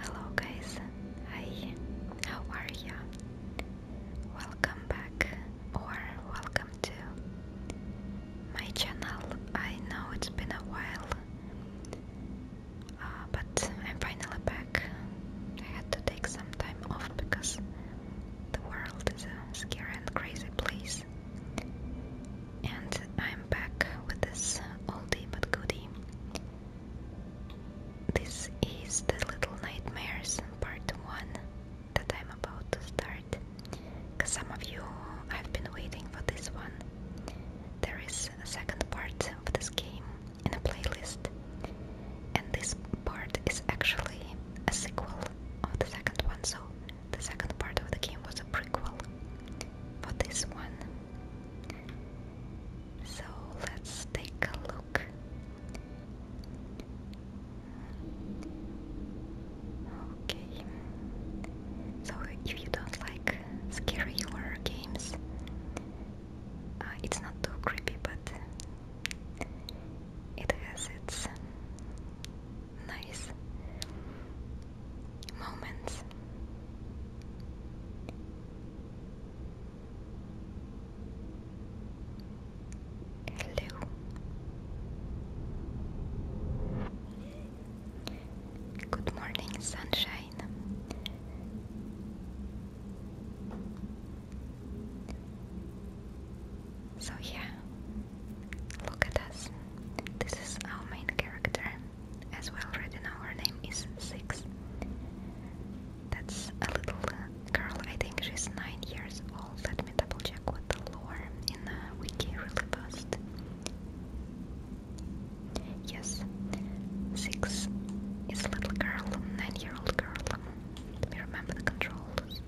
Hello guys, hi, how are you? Welcome back or welcome to my channel. I know it's been a while, uh, but I'm finally back. I had to take some time off because the world is a scary and crazy place. And I'm back with this oldie but goodie this is the Little Nightmares part 1 that I'm about to start. Because some of you have been waiting for this one. There is a second part of this game in a playlist, and this part is actually a sequel of the second one. So, the second part of the game was a prequel for this one. So let's take a look. Okay. So if you don't like scary horror games, uh, it's not too creepy, but it has its nice moments. Hello. Good morning, sunshine. So, yeah, look at us. This is our main character as well, already know her name is Six. That's a little uh, girl, I think she's 9 years old. Let me double check with the lore in the wiki really post. Yes, Six is a little girl, 9 year old girl. Let me remember the controls.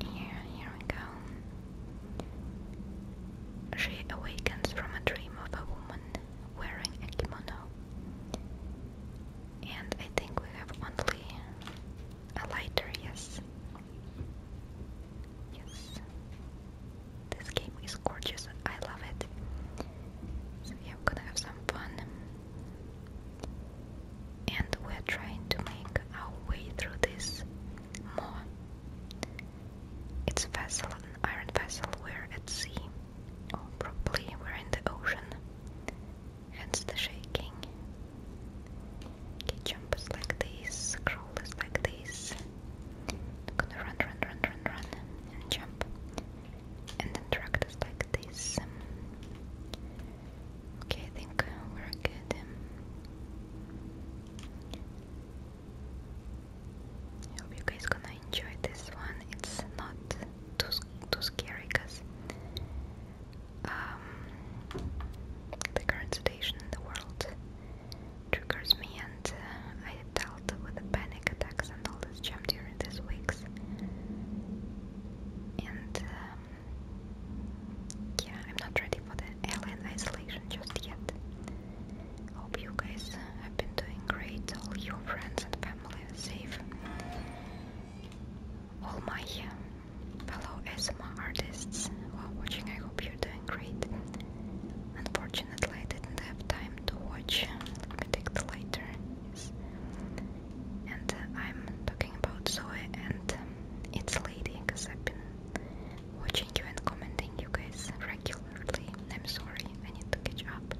Here, here we go. She awakens from a dream of a woman wearing a kimono. And I think we have only a lighter, yes. Yes. This game is gorgeous. I love it. So we're gonna have some fun. And we're trying to make our way through this more it's a vessel, an iron vessel, we're at sea, or probably we're in the ocean, hence the shaking. Okay, jump is like this, crawl is like this. gonna run, run, run, run, run, jump. And then drag is like this. Okay, I think we're good. I hope you guys gonna enjoy this one. It's not too too scary because um, the current situation in the world triggers me, and uh, I dealt with the panic attacks and all this jam during these weeks. And um, yeah, I'm not ready for the alien isolation just yet. Hope you guys have been doing great, all your friends and family are safe. All my fellow ASMR artists who are watching, I hope you're doing great. Unfortunately, I didn't have time to watch take Benedict later. Yes. And uh, I'm talking about Zoe and um, its lady because I've been watching you and commenting you guys regularly early. I'm sorry, I need to catch up.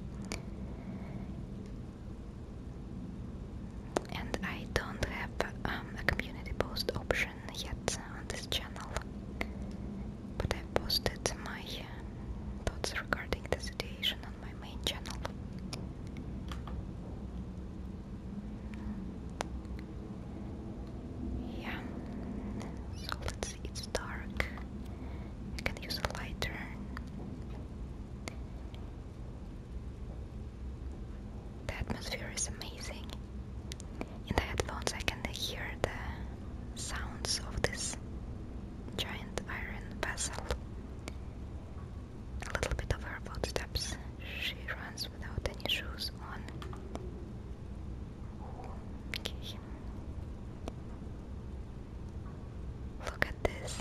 And I don't have um, a community post option yet on this channel, but i posted my uh, thoughts regarding the situation on my main channel. Yeah, so it's dark. I can use a lighter. The atmosphere is amazing. In the headphones, I can hear the sounds of this giant iron vessel. A little bit of her footsteps. She runs without any shoes on. Look at this.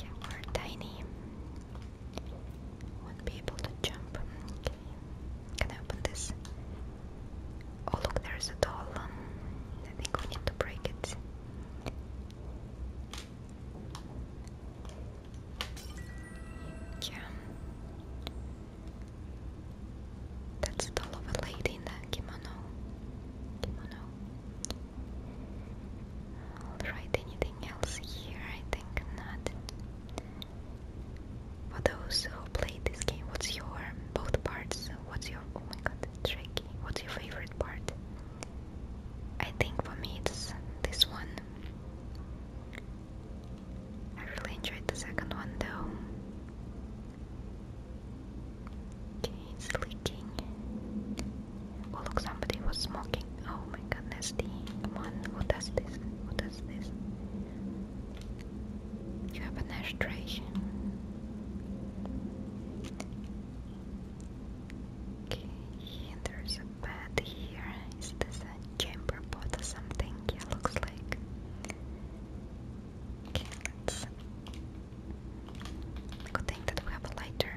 Yeah, we're tiny. Won't be able to jump. Can I open this? Oh look, there's a doll. I think we need to break it. Yeah. That's the lovely lady in the kimono. Kimono. Alright, anything else here? I think not. For those who played this game, what's your both parts? What's your oh my god, tricky? What's your favorite part? I think for me it's this one. I really enjoyed the second one though. Okay, it's leaking. Oh look, somebody was smoking. Oh my goodness, the one who does this, who does this? You have an ashtray. Okay, and there's but here. Is this a chamber pot or something? Yeah, looks like. Okay, let's. Good thing that we have a lighter.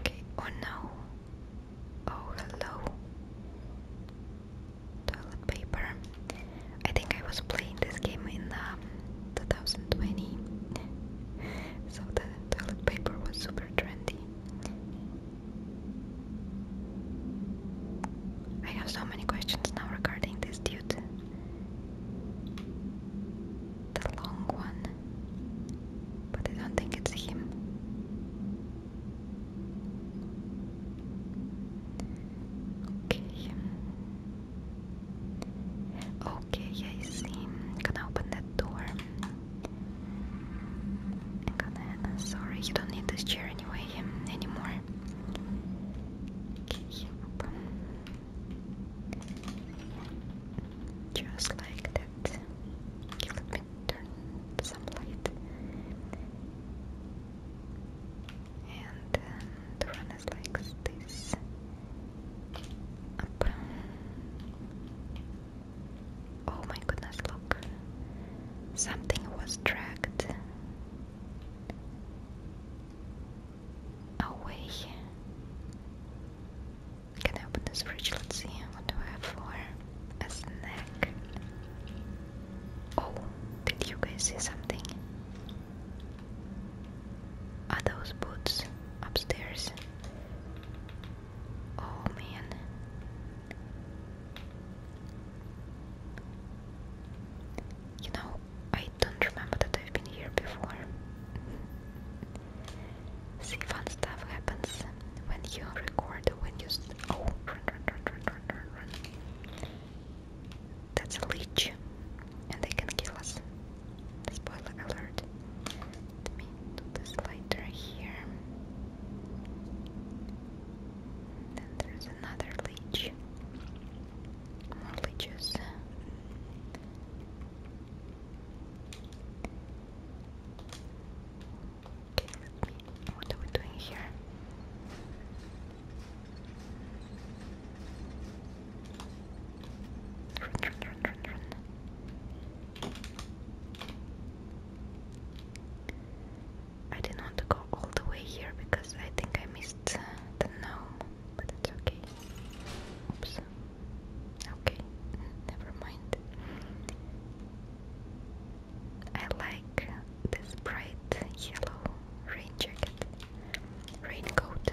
Okay, oh no. Oh, hello. Toilet paper. I think I was playing this game in um, 2020 so the toilet paper was super trendy I have so many questions now regarding this dude the long one but I don't think it's him Okay Okay, I see. I'm gonna open that door. Uh, sorry, you don't need this chair anyway um, anymore. Okay, open. Just like that. Okay, me some light. And um, the run is this. Oh my goodness, look. Something was dragged away. Can I open this fridge? Let's see. What do I have for a snack? Oh, did you guys see something? Are those boots upstairs? Oh man. You know, I don't remember that I've been here before. See, fun stuff happens when you record, when you. Oh, run, run, run, run, run, run, run. That's a leech, and they can kill us. Spoiler alert. Let me do this later here. Then there's another leech. More Okay, What are we doing here? I didn't want to go all the way here because I think I missed uh, the gnome, but it's okay. Oops. Okay, never mind. I like this bright yellow rain jacket, raincoat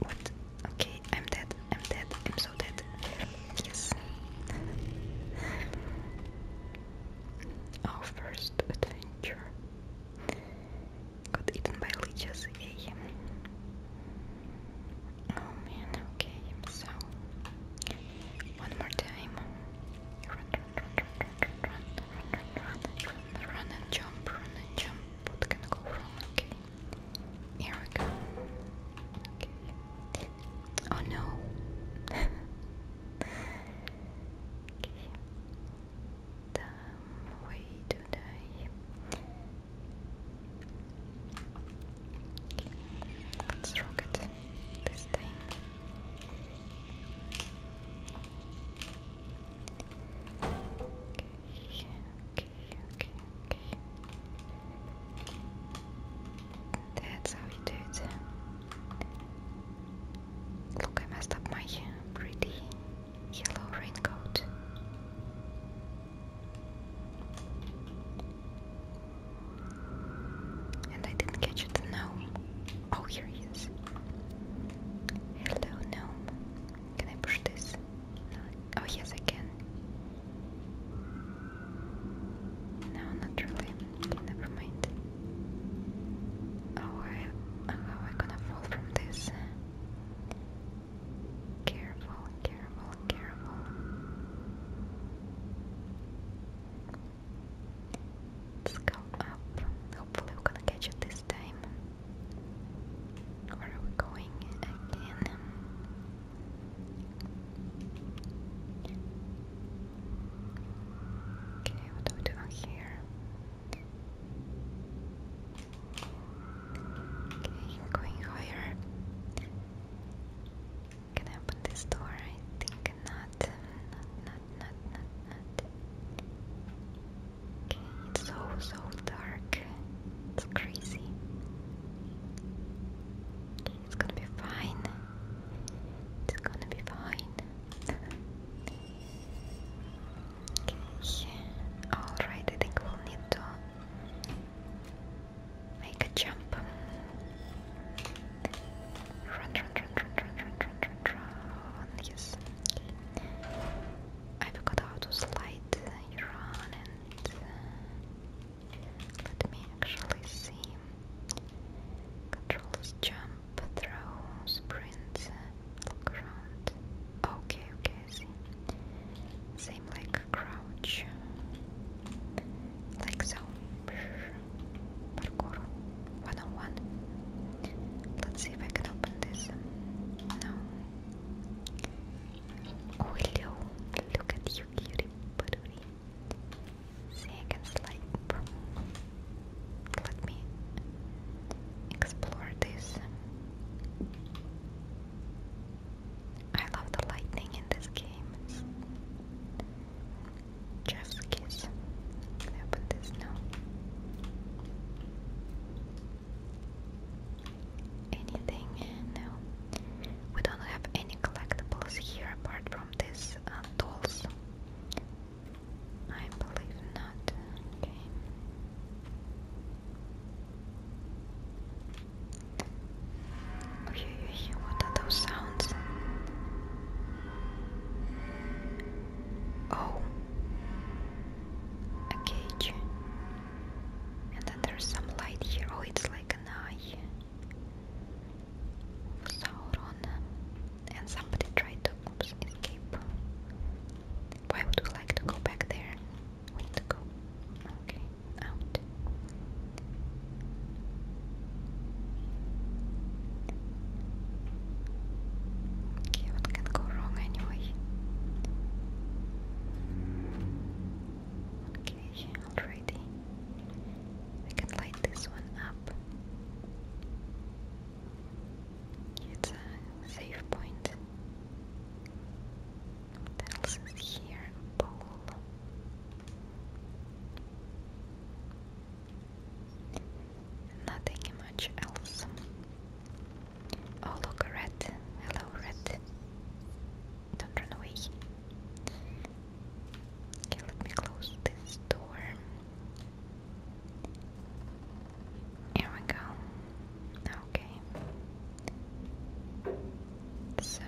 What? Okay, I'm dead. I'm dead. I'm so dead. Yes. Our first adventure got eaten by leeches. Yay. Oh man, okay, so one more time. run and jump, run and jump. What can go wrong? Okay. Here we go. Okay. Oh no. okay. Damn, way to die. Okay. Let's rock it this time okay, okay, okay. That's how you do it. Look, I messed up my pretty yellow raincoat. And I didn't catch the gnome. Oh, here he is. Hello, gnome. Can I push this? Oh yes, I can. No, not really. never mind. Oh, oh, how am gonna fall from this? Careful, careful, careful. Let's go up. Hopefully, we're gonna catch it this next time. Where are we going again? Okay, what do we do here? going higher. Can I open this door? I think Not, not, not, not, not. Okay, It's so, so dark. It's crazy. It's gonna be fine. It's gonna be fine. okay. Alright, I think we'll need to make a jump. Run, run, run, run, run, run, run, run, run. Yes. Okay. I forgot how to slide Iran and uh, let me actually see. Controls jump, throw, sprint, uh, look around. Okay, okay, I Same like crouch. Like so. Parkour. One on one. Let's see if I can open this. No. Oh, hello. Look at you, cutie patootie. See, Let me explore this. I love the lightning in this game. It's kiss. I put this now? anything? No. Uh, we don't have any collectibles here apart from these uh, I believe not. Okay. Okay, what are those sounds? Oh, a cage. And then there's some light here. Oh, it's like an eye Sauron. And somebody tried to escape. Why would we like to go back there? We need to go. Okay, out. Okay, what can go wrong anyway? Okay, already. I can light this one up. It's a safe point. What else is here? Bowl. Nothing much else. Oh look, a rat. Hello, rat. Don't run away. Okay, let me close this door. Here we go. Okay. So,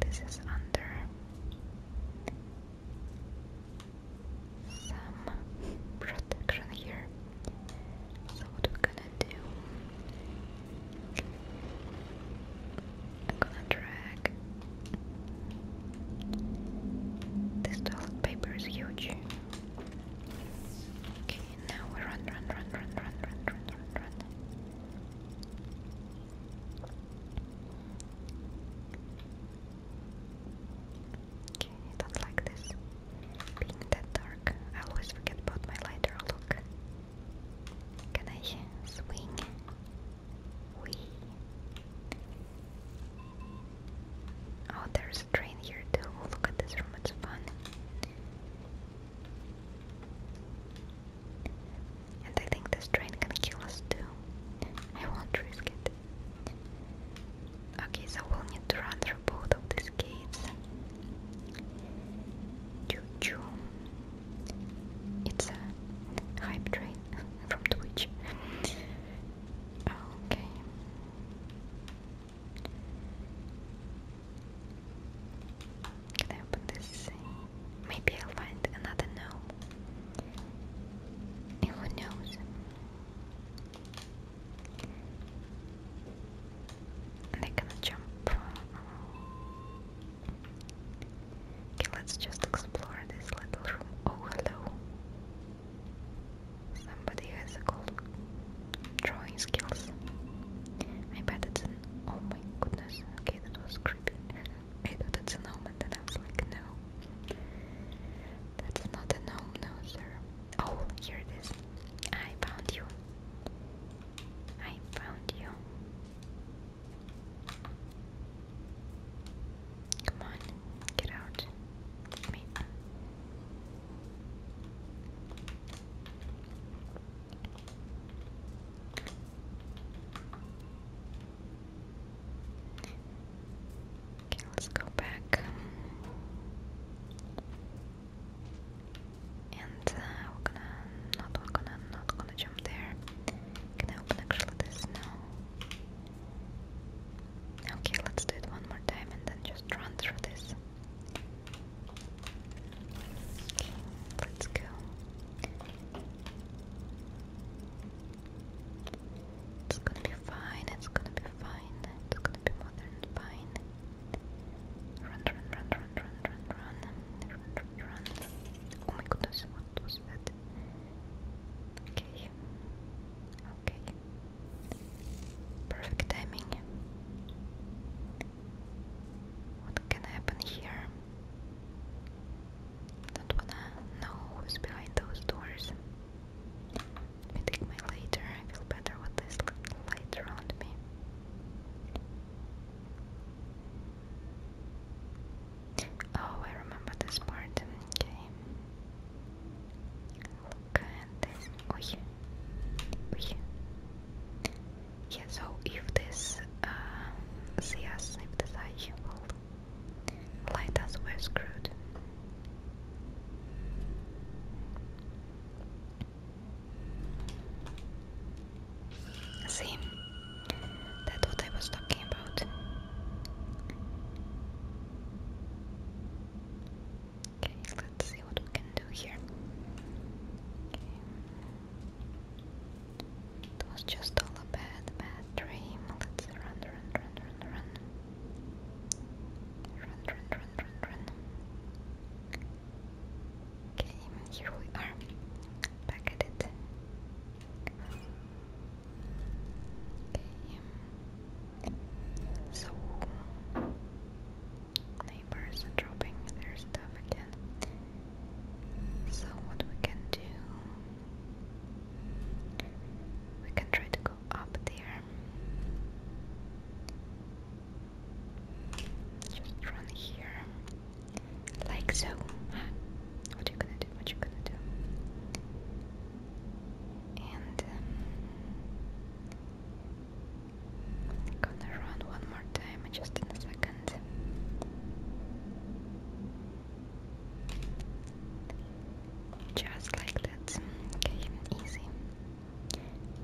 this is under some protection here. So what I'm gonna do I'm gonna drag this toilet paper is huge. Okay, now we run, run, run, run, run, run, run, run, run. Okay, not like this being that dark. I always forget about my lighter look. Can I swing? We. Oh, there's a train here too. Oh, look at this room, it's fun. And I think this train can kill us too. I won't risk it. Okay, so we'll need to run through both of these escapes. Choo choo. It's a hype train from Twitch. Okay. Can I open this? Maybe I'll find another gnome. who knows? And they're gonna jump. Okay, let's just explore this little room. Oh, hello. Somebody has a drawing skills. I bet it's Oh my goodness. Okay, that was creepy. I thought it's a gnome, and then I was like, no. That's not a gnome, no, sir. Oh, here it is. I found you. I found you. Come on, get out. Me. Okay, let's go back. And uh, we're gonna not we're gonna not gonna jump there. Can I open actually this now? Okay, let's do it one more time and then just run through this. let's go. It's gonna be fine, it's gonna be fine, it's gonna be more than fine. Run, run, run, run, run, run, run, run, run, run. Oh my goodness, what was that? Okay. Okay. Perfect timing. What can happen here? Don't wanna know who's behind those doors. Let me take my lighter. I feel better with this light around me. Oh, I remember this part. Okay. Look at this. Oy. Oy. Yeah, so if this uh, see if this eye will screwed. See, that's what I was talking about. Okay, let's see what we can do here. Okay. was just all a bad, bad dream. Let's run, run, run, run, run. Run, run, run, run, run. Okay, here we are. Back at it. Okay. Um, so neighbors dropping their stuff again. So what we can do we can try to go up there. Just run here. Like so. What you gonna do? What you gonna do? And um, gonna run one more time just in a second. Just like that. Okay, easy.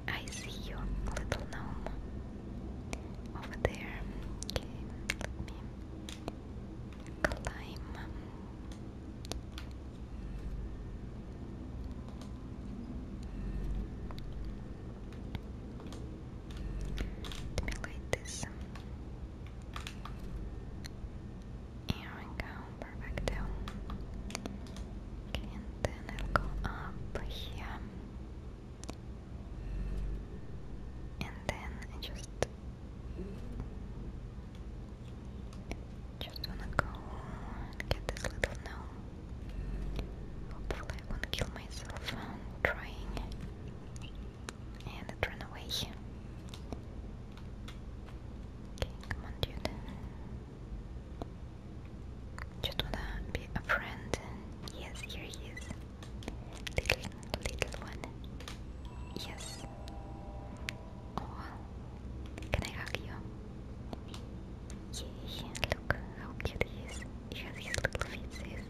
I see your little gnome, over there. let me climb. Let me light this. Here we go, perfect. Okay, and then I'll go up and then I just just wanna go and get this little gnome. Hopefully I won't kill myself trying and it away. Okay, come on dude. Just wanna be a friend. Yes, here he is. Little, little one. Yes. Oh, can I hug you? Yay, look how cute he is. He has his little feetsies.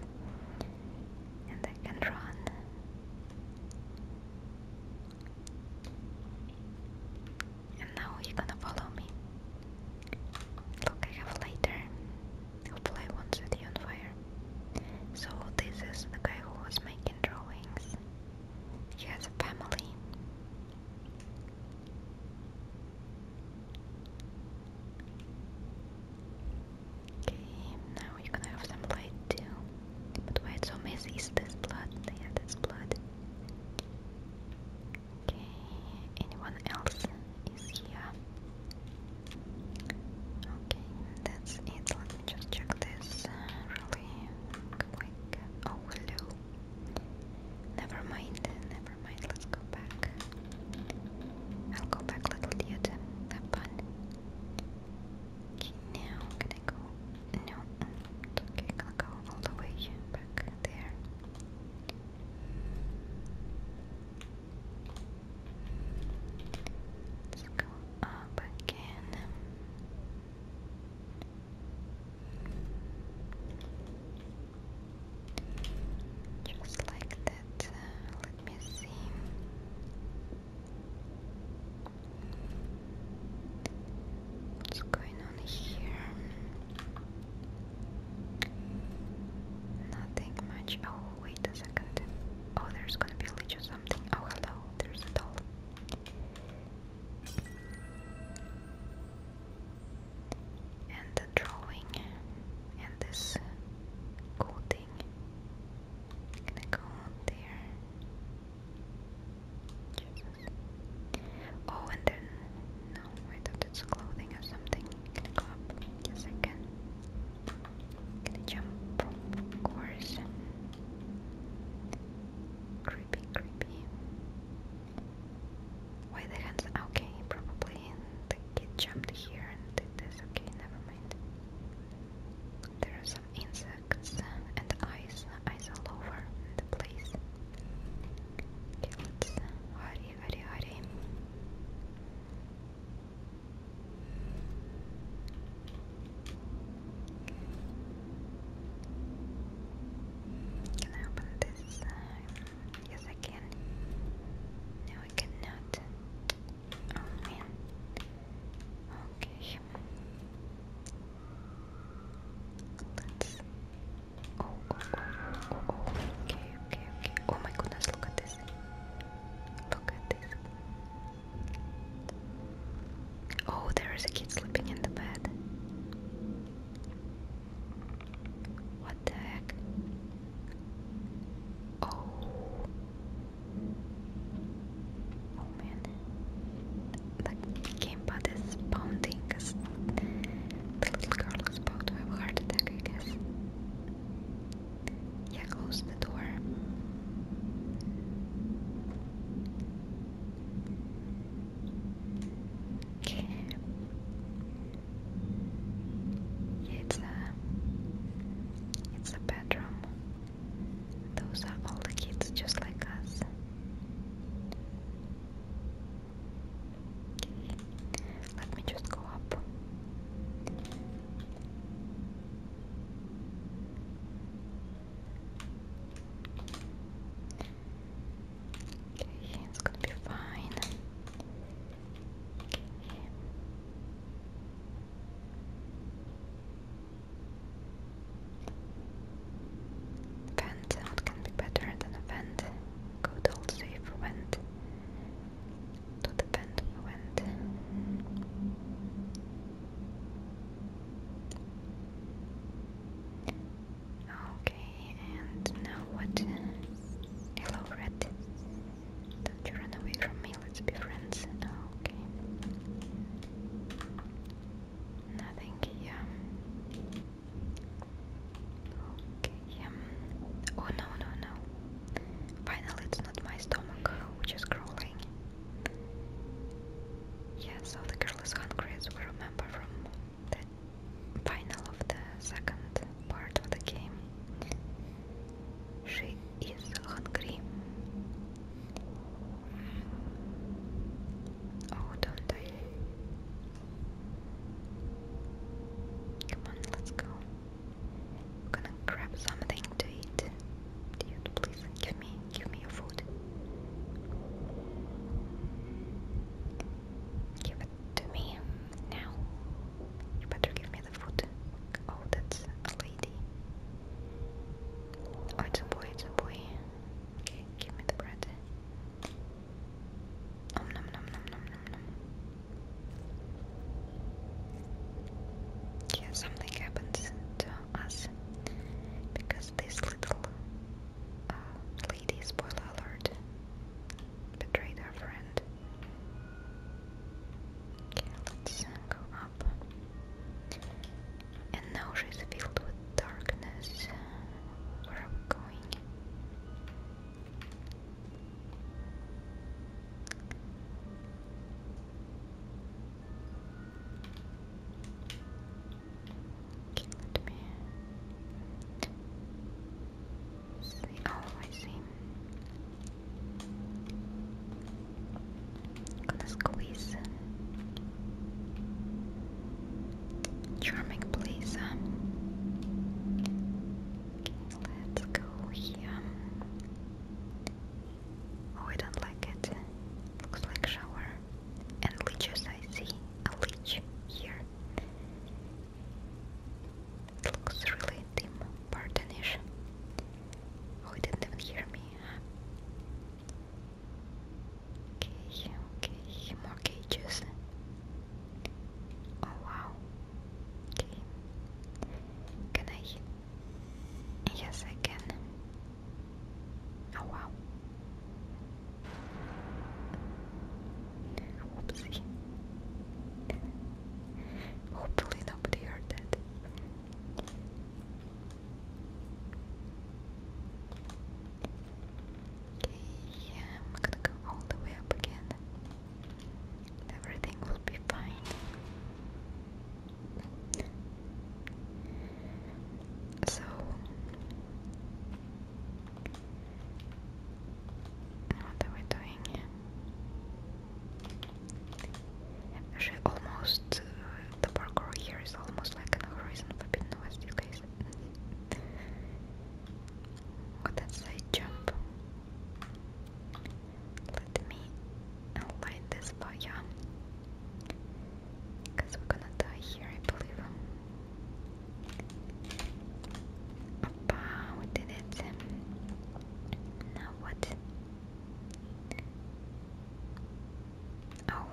And I can run. And now you're gonna follow me. Look, I have a lighter. Hopefully, I won't set you on fire. So, this is the guy who was making drawings. He has a family. Okay, now you're gonna have some light too. But why it's so messy is this blood? Yeah, that's blood. Okay, anyone else is here? Okay, that's it. Let me just check this really quick. Oh, hello. Never mind, never mind. Let's go back. I'll go back, little idiot. Have fun. Okay, now can I go? No. Okay, go all the way back there. Let's go up again. Just like that. Uh, let me see. What's going on here? Nothing much. Oh, wait a second. Oh, there's gonna be a little something. Oh, hello, there's a doll. And the drawing. And this cool thing. gonna go there. Oh, and then. No, wait a lift its clothing or something. Yes, I can. Can it jump? Of course. Creepy, creepy. Why the hands? Okay, probably the kid jumped here and did this. Okay, never mind. There are some insects and eyes, eyes all over the place. Okay, let's hurry can I open this? yes, I can. No, I cannot. Oh man. Okay. let oh, okay, okay, okay, oh my goodness, look at this, look at this, oh, there is a kid sleeping in the bed, what the heck, oh, oh man, the gamepad is pounding, the little girl is about to have heart attack, I guess. Yeah, close the door. Okay. Yeah, it's a, uh, it's a bedroom. Those are all the kids just like us. Let me just go up. it's gonna be fine. Vent, what can be better than a vent? Good old safe vent to the bend Okay, and now what? Hello, Red. Don't you run away from me, let's be friends. Okay. Nothing here. Oh no no no. Finally it's not my stomach which is crawling. Yeah, so the girl is hungry we remember from the final of the second part of the game. She is hungry. Oh, don't die. Come on, let's go. I'm gonna grab something to eat. Dude, please give me give me your food. Give it to me now. You better give me the food. Oh, that's a lady. Oh, it's a boy, it's a boy. Okay, give me the bread. Om nom nom nom nom nom nom. something happens to us because this little uh, lady, spoiler alert, betrayed her friend. Okay, let's uh, go up. And now she's filled with darkness. Where are we going? Okay, me see. Oh, I am gonna squeeze. Charming, please. Okay, let's go here. Oh, I don't like it. Looks like shower. And leeches, I see. A leech here. It looks really dim, pardonish. Oh, he didn't even hear me. Okay, okay, more cages. Oh wow. Okay. Can I hit? Yes, I can. Oh wow. Oopsie. Hopefully nobody heard that. yeah, I'm gonna go all the way up again. Everything will be fine. So what are we doing? She almost uh, the parkour here is almost like an horizon forbidden west, you guys. What oh, that jump? Let me light this fire because we're gonna die here, I believe. Opa, we did it. Now what? Oh.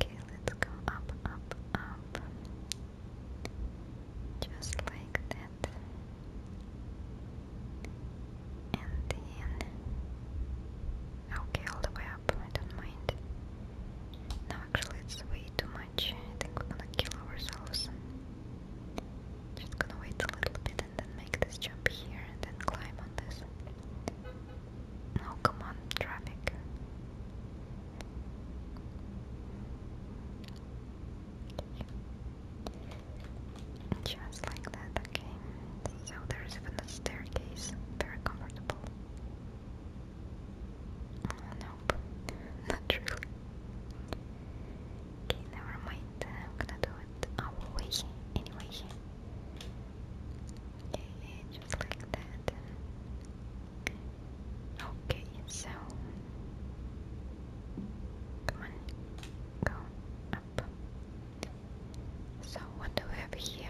Okay, let's go up, up, up just like that. And then, okay, all the way up, I don't mind. No, actually, it's way too much. I think we're gonna kill ourselves. Just gonna wait a little bit and then make this jump here and then climb on this. No, come on, traffic. Just like that, okay. So there is even a staircase, very comfortable. Oh, nope, not really. Okay, never mind. I'm gonna do it our way anyway. Okay, just like that. Okay, so come on, go up. So what do we have here?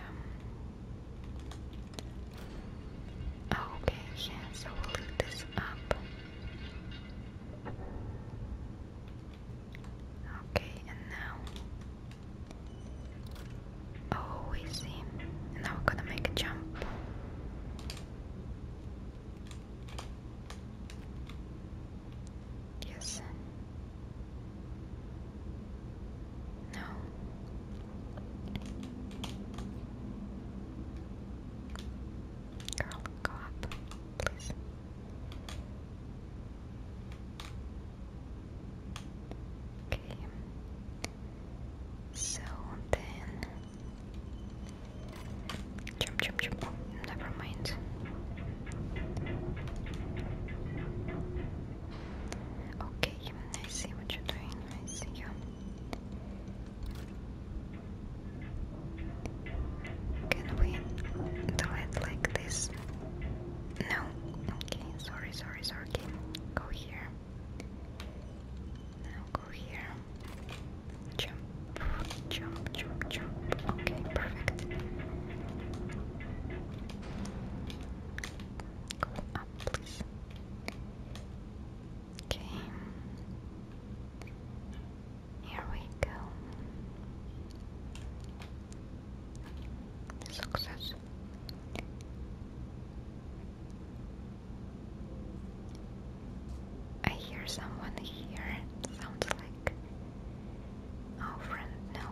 Oh, okay, yeah, so we this up. Okay, and now oh we see. now we're gonna make a jump. Yes. No. Girl, go up, please. Okay. So then Jump, jump, jump. Never mind. Okay, I see what you're doing. I see you. Can we do it like this? No. Okay, sorry, sorry, sorry. Go here. Now go here. Jump, jump, jump, jump. Okay, perfect. Go up, please. Okay. Here we go. Success. I hear someone here. sounds like our friend no.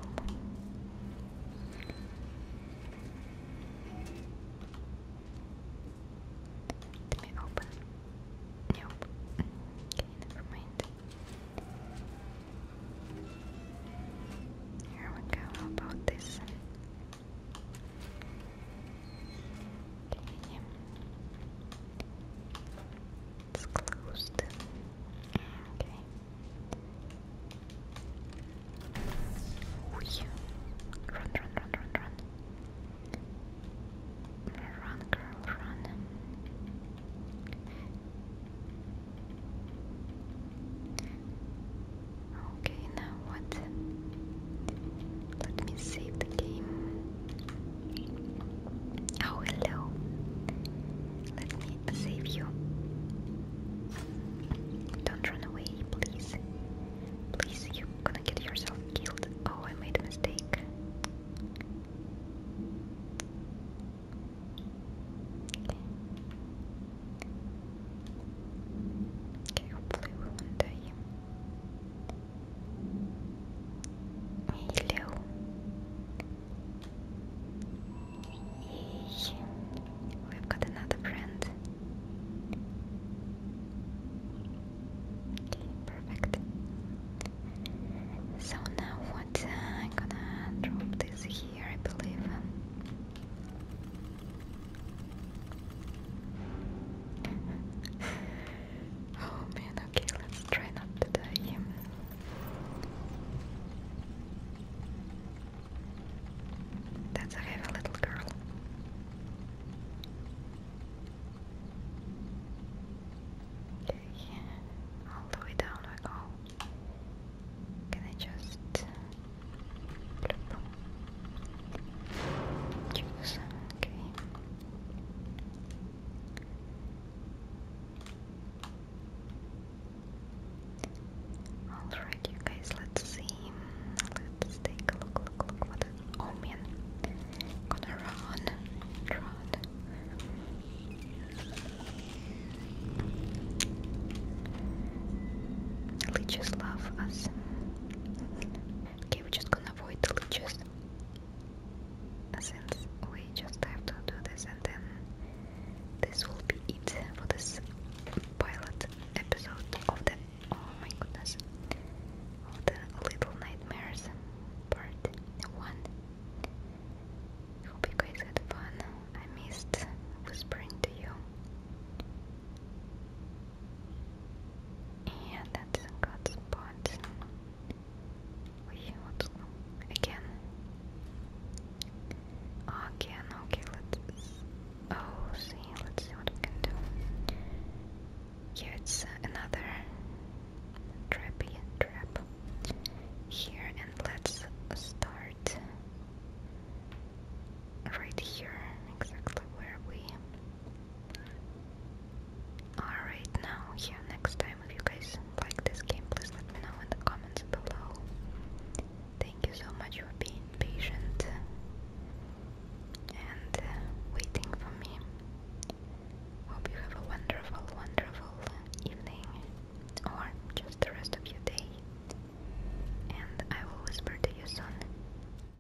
Let me open. Nope. never mind. Here we go. about this? Okay. It's closed. Okay. Run, run, run, run, run. Run, girl, run. Okay, now what? Let me save the game. Oh, hello. Let me save you. Don't run away, please. Please, you're gonna get yourself killed. Oh, I made a mistake. Okay. hopefully we won't die milho e we've got another brand okay, perfect so now what uh, I'm gonna drop this here I believe Oh man, okay, let's try not to die. That's a heavy little girl. Okay, all the way down I go. Can I just... Choose, okay. Alright, you guys, let's see. Let's take a look, look, look what an omen. Gonna run, run. Leeches love us. Okay, we're just gonna avoid the since we just have to do this and then this will be it for this pilot episode of the oh my goodness of the Little Nightmares part 1 hope you guys had fun I missed whispering to you yeah, that's a good spot. We would again. Again, okay, let's. Oh, see, let's see what we can do. Here uh, another trappy trap here, and let's start right here, exactly where we Alright, now, yeah, next time if you guys like this game, please let me know in the comments below. Thank you so much for being patient and uh, waiting for me. Hope you have a wonderful, wonderful evening or just the rest of your day. And I will whisper to you soon.